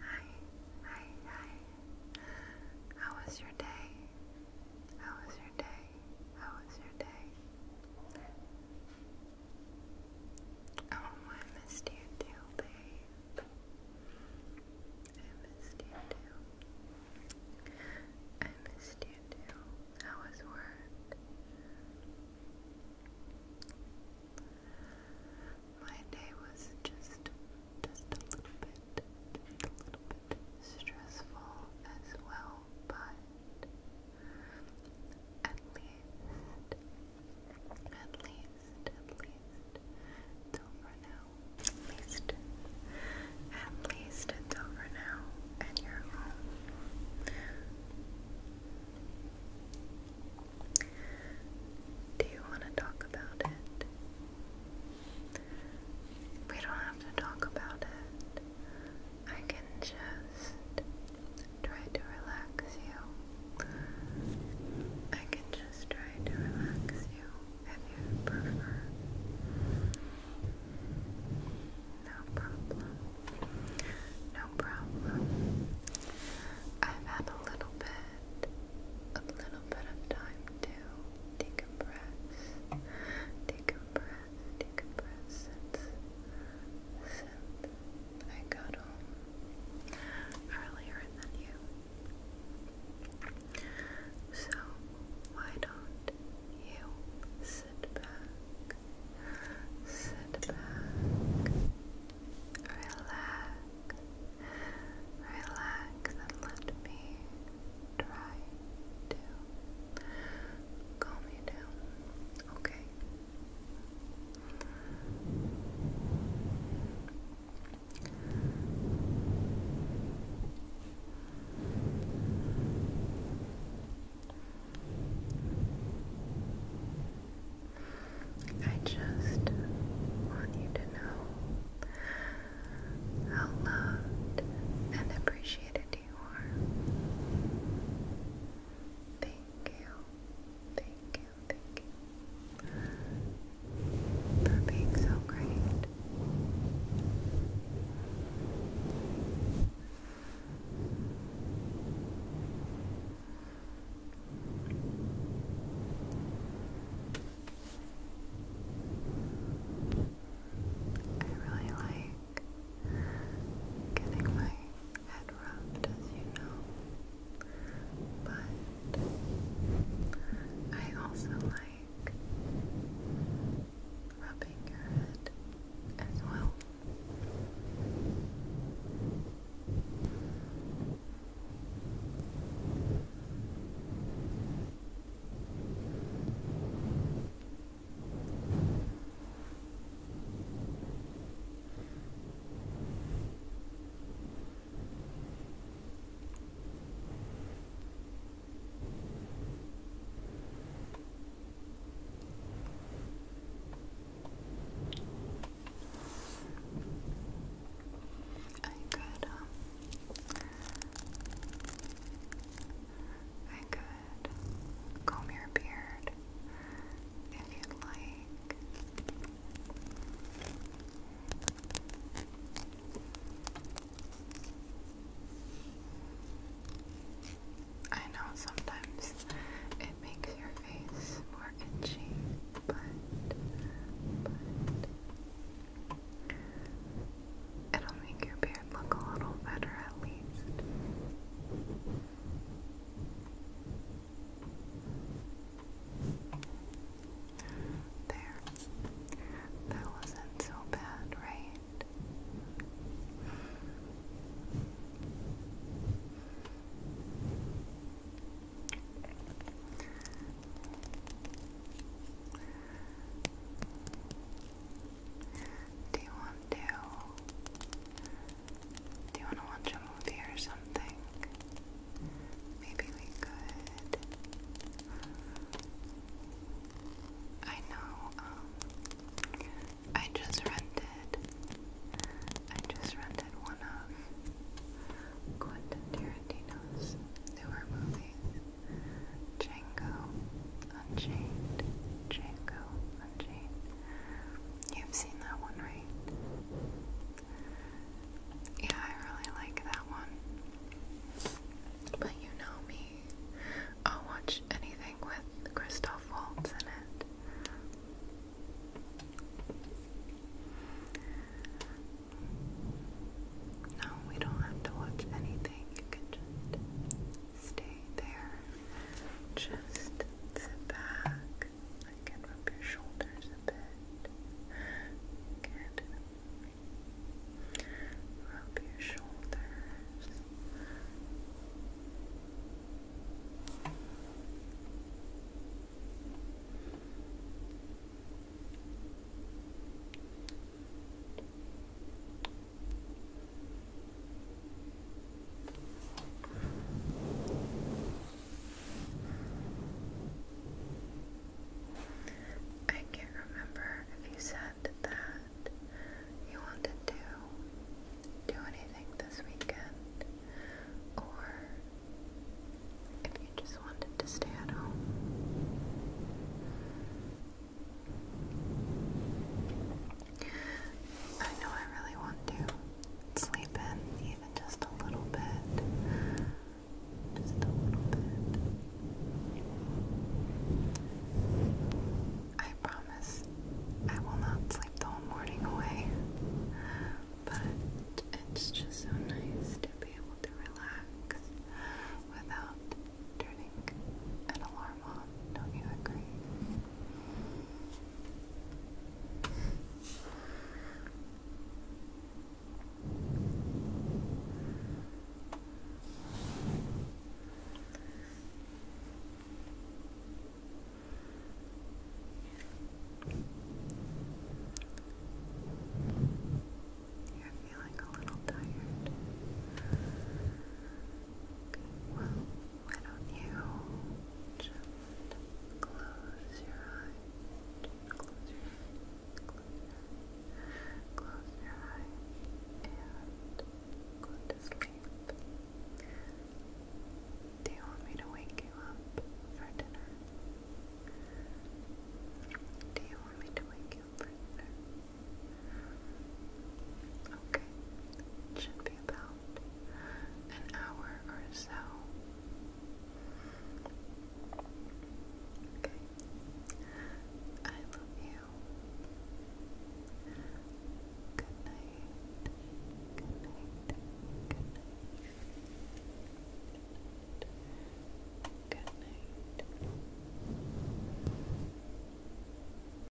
Hi, hi, hi. How was your day? How was your day? How was your day? Oh, I missed you too, babe. I missed you too. I missed you too. How was work? My day was just just a little bit just a little bit stressful as well, but at least at least at least it's over now. At least at least it's over now and you're home. Do you want to talk about it? We don't have to talk about it. I can just try to relax you. I can just try to relax you if you prefer. No problem. No problem. I've had a little bit, a little bit of time to decompress, decompress, decompress since, I got home earlier than you. So why don't you? Sit back, sit back, relax, relax, and let me try to calm you down, okay? I just want you to know how loved and appreciated you are. Thank you, thank you, thank you for being so great. I really like getting my head rubbed, as you know, but I also like rubbing your head as well. I could, um, I could comb your beard if you'd like. I know sometimes it makes your face more itchy, but, but it'll make your beard look a little better at least. There. That wasn't so bad, right? Do you want to do you want to watch a movie or something? Maybe we could. I know, um, I just rented, I just rented one of Quentin Tarantino's newer movies, Django Unchained, Django Unchained. You've seen that one, right? Yeah, I really like that one. But you know me. I'll watch anything with Christoph Waltz in it. No, we don't have to watch anything. You can just stay there. Just sit back. I can rub your shoulders a bit. Good. Rub your shoulders. I can't remember if you said that you wanted to do anything this weekend or if you just wanted to stay at home. I know I really want to sleep in, just a little bit. Just a little bit. I promise I will not sleep the whole morning away, but it's just so nice to be able to relax without turning an alarm on. Don't you agree? You're feeling a little tired why don't you just close your eyes? Just close your eyes, close your eyes, close your eyes, Do you want me to wake you up for dinner? Do you want me to wake you for dinner? Okay, should be about an hour or so. Okay. I love you. Good night. Good night. Good night. Good night.